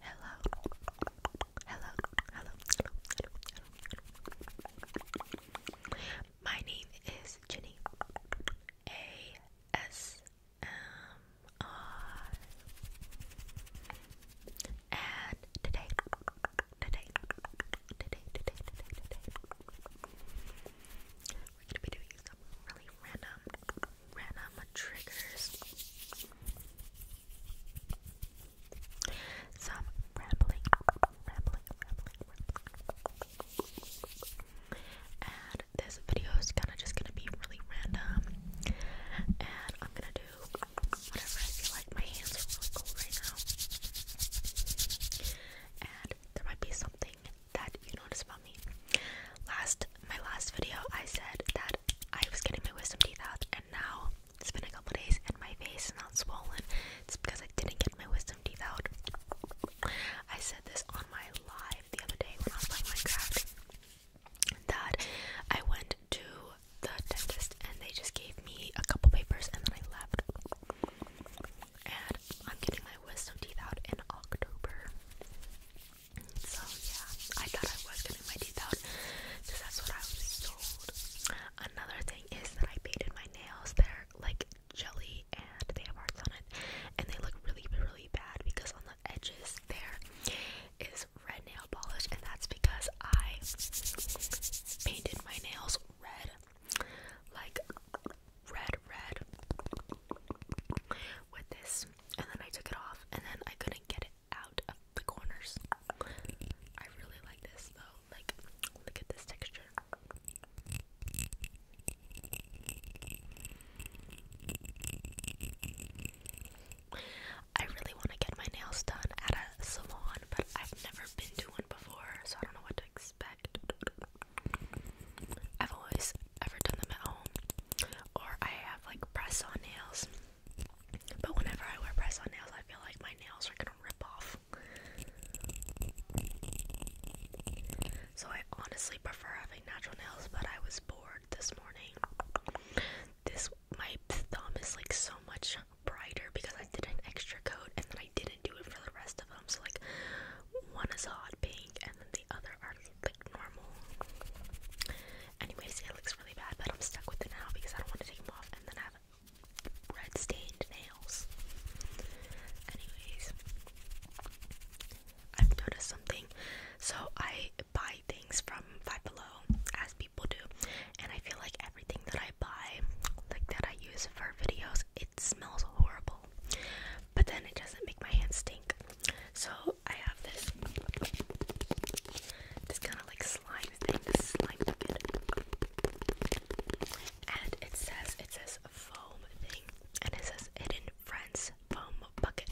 Hello. Hello. Hello. Hello. My name is Jenny. A S M R. And today, today, today, today, today, today, we're gonna be doing some really random, random triggers. Some rambling, rambling, rambling, And this video is kind of just gonna be really random. And I'm gonna do whatever I feel like. My hands are really cold right now. And there might be something that you notice about me. Last, my last video, I said that I was getting my wisdom teeth out, and now it's been a couple days, and my face is not swollen. It's because I didn't get my wisdom teeth out. I said this on my live the other day when I was playing Minecraft that I went to the dentist and they just gave me a couple papers and then I left and I'm getting my wisdom teeth out in October. So yeah, I thought I was getting my teeth out because that's what I was told. Another thing is that I painted my nails. They're like jelly and they have hearts on it, and they look really, really bad because on the edges there is red nail polish, and that's because I painted my nails red, like red, red with this, and then I took it off, and then I couldn't get it out of the corners. I really like this though. Like, look at this texture. I really want to get my nails done at a salon, but I've never been to one before, so I don't know what to expect. I've always ever done them at home, or I have like press on nails. But whenever I wear press on nails, I feel like my nails are gonna rip off. So I honestly prefer having natural nails, but I was bored this morning. This my thumb is like so much brighter because I did an extra coat and then I didn't do it for the rest of them. So like one is hot pink and then the Anyways, it looks really bad, but I'm stuck with it now because I don't want to take them off and then have red stained nails. Anyways, I've noticed something. So I buy things from Five Below, as people do, and I feel like everything that I buy, like that I use for videos, it smells horrible but then it doesn't make my hands stink. So I have this this kind of like slime thing, slime bucket, and it says it says foam thing, and it says hidden friends foam bucket.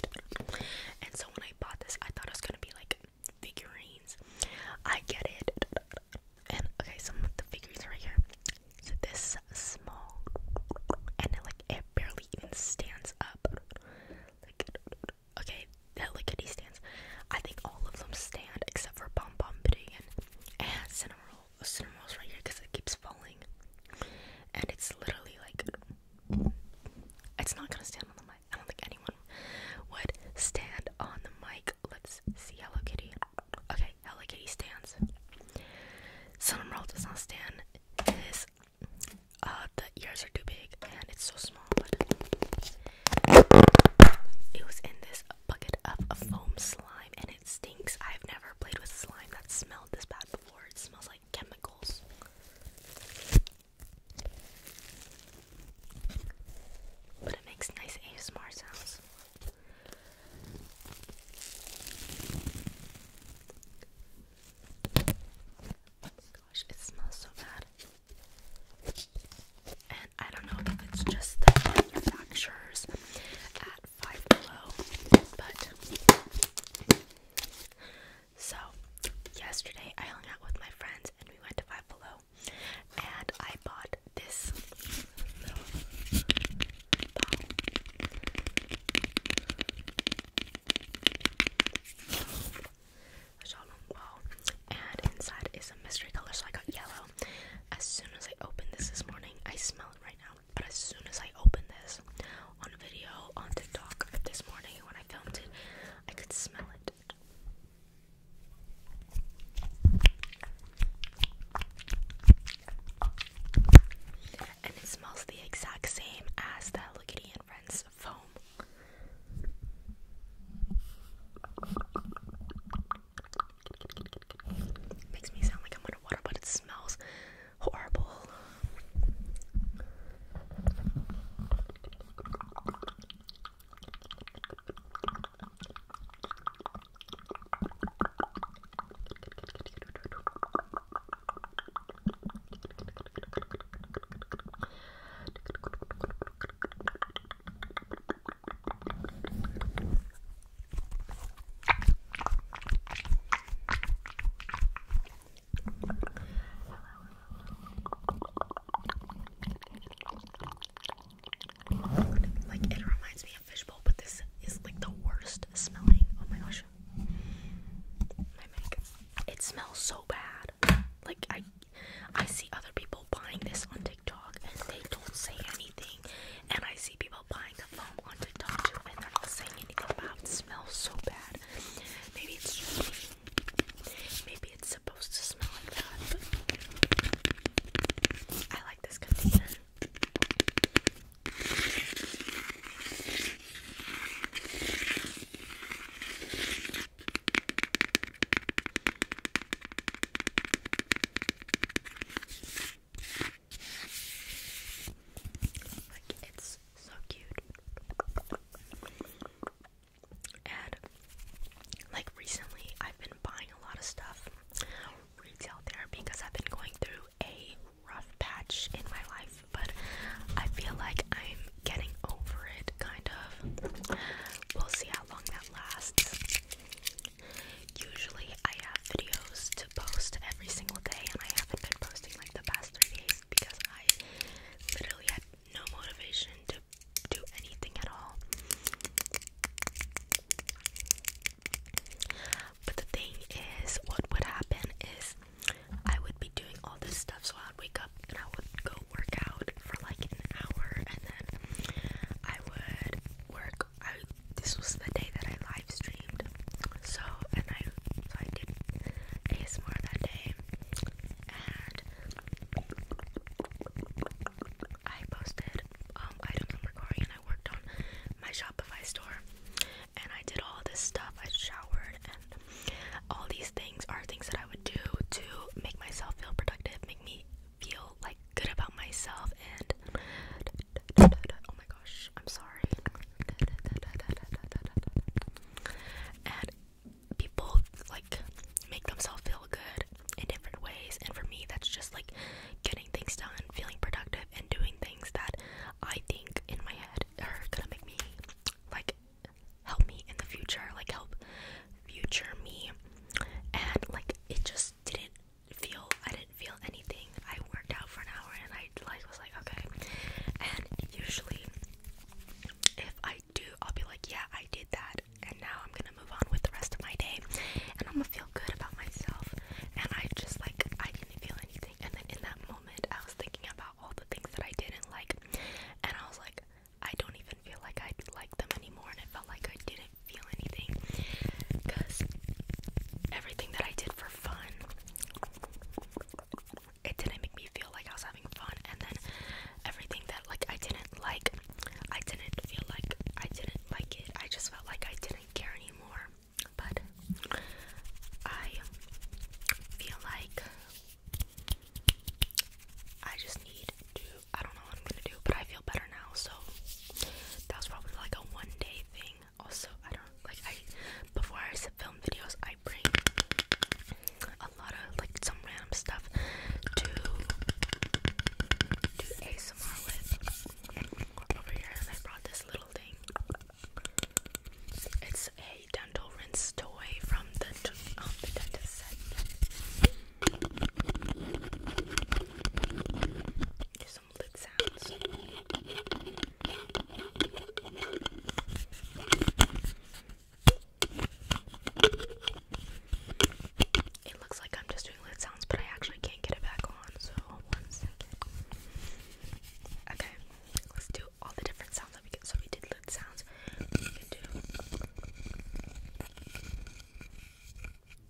And so when I bought this, I thought it was gonna be like figurines. I get it. And okay, some of the figurines are right here. It's this small, and it, like it barely even stands up. Like, okay, that lickety stands. I think all of them stand except for Bomb Bomb Bidigan and Cinnamon Roll. right here because it keeps falling, and it's literally like it's not gonna stand on the mic. I don't think anyone would stand on the mic. Let's see Hello Kitty. Okay, Hello Kitty stands. Cinnamon does not stand is uh, the ears are too big and it's so small, it was in this bucket of foam slime and it stinks. I've never played with slime that smelled this bad before. It smells like chemicals. But it makes nice ASMR sounds. Oh my gosh, it smells so bad. And I don't know if it's just the manufacturers at Five Below, but so yesterday I hung out with my friends and we went to Five Below, and I bought this and inside is a mystery color, so I got yellow. As soon as I opened this this morning, I smell it right now, but as soon as I opened this on a video on TikTok this morning when I filmed it, I could smell it. And it smells the exact same as the Hello Kitty and Friends foam. Makes me sound like I'm underwater, but it smells horrible. Like it reminds me of fishbowl, but this is like the worst smelling. Oh my gosh, my makeup. It smells so bad. Like I I see other people buying this on TikTok and they don't say anything. And I see people buying the foam on TikTok too and they're not saying anything about it. smells so bad. Maybe it's maybe it's supposed to smell like that, I like this container. Like it's so cute. And like recently I've been buying a lot of stuff retail there because I've been going through a rough patch in my life, but I feel like I'm getting over it, kind of. We'll see how long that lasts. Usually, I have videos to post every single day, and I haven't been posting like the past three days because I literally had no motivation to do anything at all. But the thing is, what would happen is I would be doing all this stuff, so I'd wake up and I would go work out for like an hour, and then I would work. I this was the day that I live streamed, so and I so I did ASMR that day, and I posted um items I'm and I worked on my Shopify store and I did all this stuff. I showered, and all these things are things that I would do to make myself feel productive, make me feel like good about myself. And oh my gosh, I'm sorry. And people like make themselves feel good in different ways, and for me, that's just like getting things done, feeling productive, and doing things that I think in my head are gonna make me like help me in the future, like help future me. And like it just didn't feel I didn't feel anything. I worked out for an hour and I like was like okay. And usually if I do I'll be like yeah I did that and now I'm gonna move on with the rest of my day and I'm gonna feel good about myself and I just like I didn't feel anything and then in that moment I was thinking about all the things that I didn't like, and I was like, I don't even feel like I like them anymore, and it felt like I didn't feel anything because everything that I did for fun, it didn't make me feel like I was having fun, and then everything that like I didn't like, I didn't feel like I didn't like it. I just felt like I didn't care anymore but I feel like I just need to. I don't know what I'm gonna do, but I feel better now, so that was probably like a one day thing. Also, I don't like I before I film videos, I bring a lot of like some random stuff to do ASMR with over here, and I brought this little thing. It's a dental rinse toy from the, um, the dentist set. some lid sounds. It looks like I'm just doing lid sounds, but I actually can't get it back on, so Okay, Let's do all the different sounds that we get. So we did lid sounds. We can do.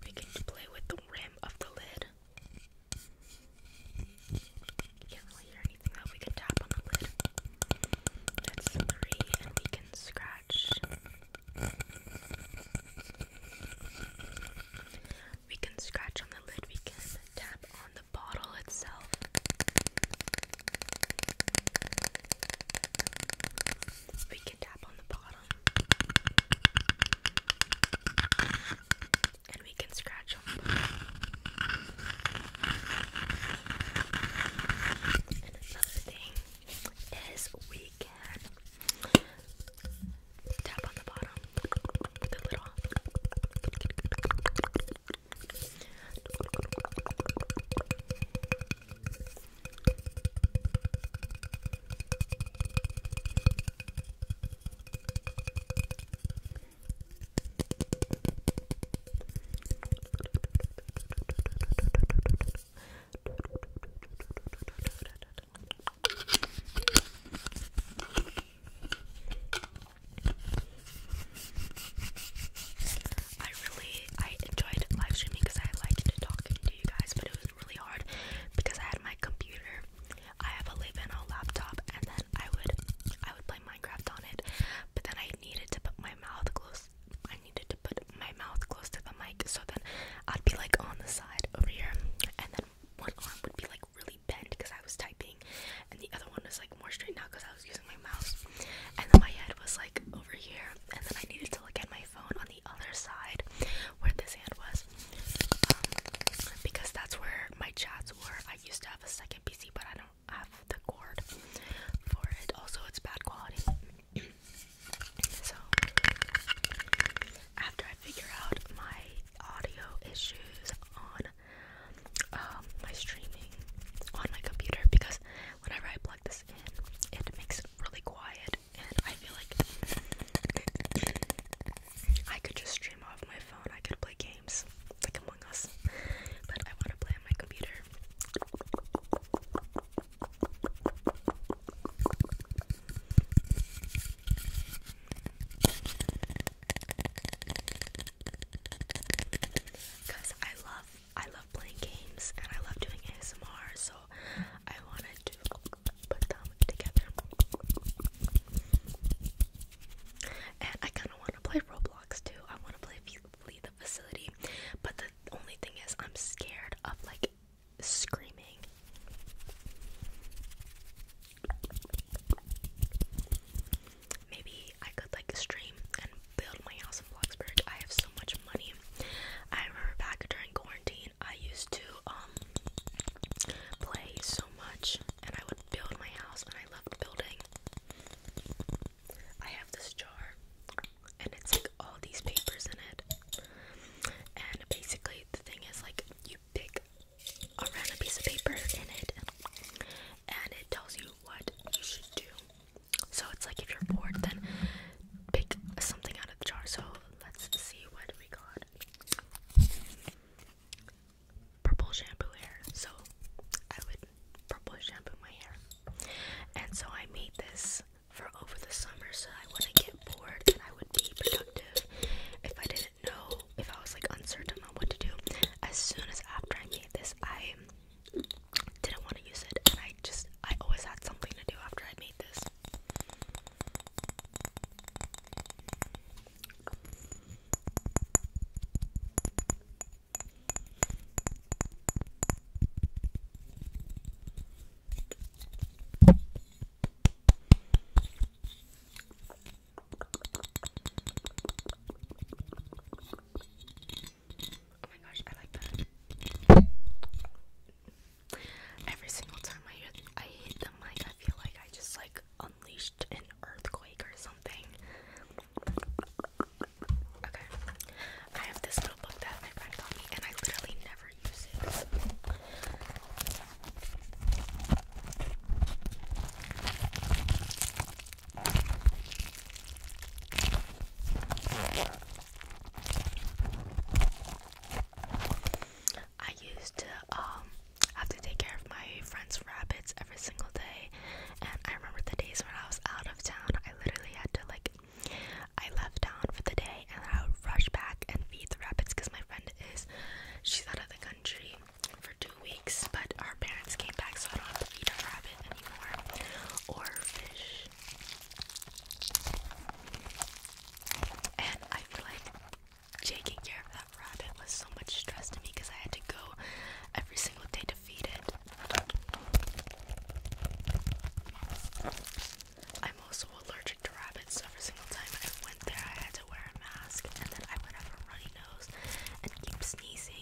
We can play with the rim of the lid. You can't really hear anything though. We can tap on the lid. That's three, and we can scratch. We can scratch on the lid. We can tap on the bottle itself. We can tap on the bottom. And we can scratch them. And another thing is we can tap on the bottom with the lid off. I really I enjoyed live streaming because I liked to talking to you guys, but it was really hard because I had my computer. I have a Levano laptop, and then I would I would play Minecraft on it, but then I needed to put my mouth close. I needed to put my mouth close to the mic, so then I'd be like on the side over here, and then one arm would be like really bent because I was typing, and the other one was like more straight now because I was using my mouse. And then my head was like over here, and then I needed to look at my phone on the other side where this hand was, um, because that's where my chats were. I used to have a second PC, but I don't have the cord for it. Also, it's bad quality. so after I figure out my audio issues on um, my streaming on my computer because whenever I plug this in, it makes really quiet, and I feel like I could just stream off my phone. I could play games like Among Us, but I want to play on my computer. Cause I love I love playing games and I love doing ASMR, so I wanted to put them together. And I kind of want to play Roblox too. I want to play Flee the Facility, but the only thing is I'm scared of like screaming. Maybe I could like stream and build my house in Bloxburg. I have so much money. I remember back during quarantine, I used to um play so much, and I would build my house, and I love building. I have this jar, and it's like all these papers in it. And basically, the thing is, like, you pick a random piece of paper in it and it tells you what you should do. So it's like if you're bored, then pick something out of the jar. So let's see what we got. Purple shampoo hair. So I would purple shampoo my hair. And so I made this for over the summer so I wouldn't get bored and I would be productive if I didn't did if I was like uncertain on what to do. As soon as after I made this, I didn't want to use it, and I just I always had something to do after I made this. Oh my gosh, I like that. Every single time I I hit the mic, I feel like I just like unleashed an earthquake or something. Okay, I have this little that my friend got me, and I literally never use it. I used to um, have to take care of my friend's rabbits every single day and I remember the days when I was out of town I literally had to like I left town for the day and I would rush back and feed the rabbits because my friend is she's out of the country for two weeks, but our parents came back, so I don't have to feed our rabbit anymore or fish. And I feel like taking care of that rabbit was so much stress to me because I had to go every single day to feed it. I'm also allergic to rabbits, so every time I went there, wear a mask and then I would have a runny nose and keep sneezing.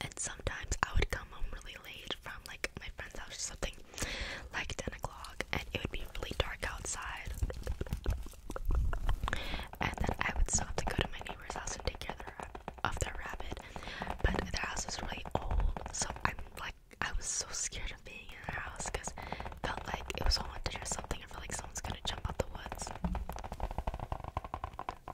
And sometimes I would come home really late from like my friend's house or something, like 10 o'clock, and it would be really dark outside. And then I would stop to go to my neighbor's house and take care of their, of their rabbit. But their house was really old, so I'm like, I was so scared of being in their house because felt like it was haunted or something. I felt like someone's gonna jump out the woods.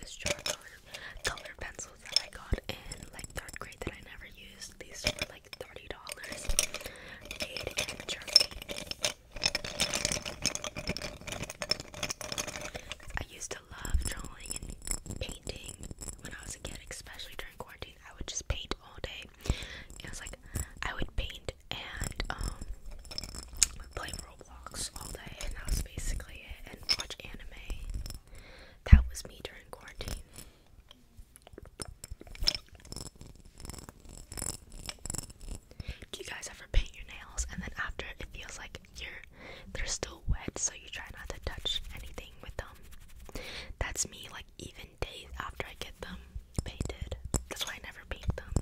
This jar color, color pencils that I got in like third grade that I never used. These were like thirty dollars. Made in Germany. I used to love drawing and painting when I was a kid, especially during quarantine. I would just paint all day. I was like I would paint and um play Roblox all day, and that was basically it. And watch anime. That was me during quarantine. Do you guys ever paint your nails and then after it feels like they're still wet, so you try not to touch anything with them. That's me, like even days after I get them painted. That's why I never paint them.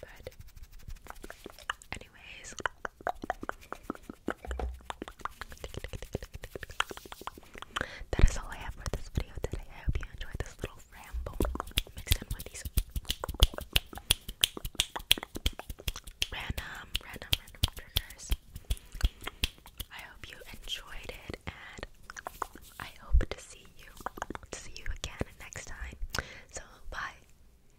But anyways, that is all I have for this video today. I hope you enjoyed this little ramble mixed in with these random, random, random triggers. I hope you enjoyed it, and I hope to see you, to see you again next time. So bye.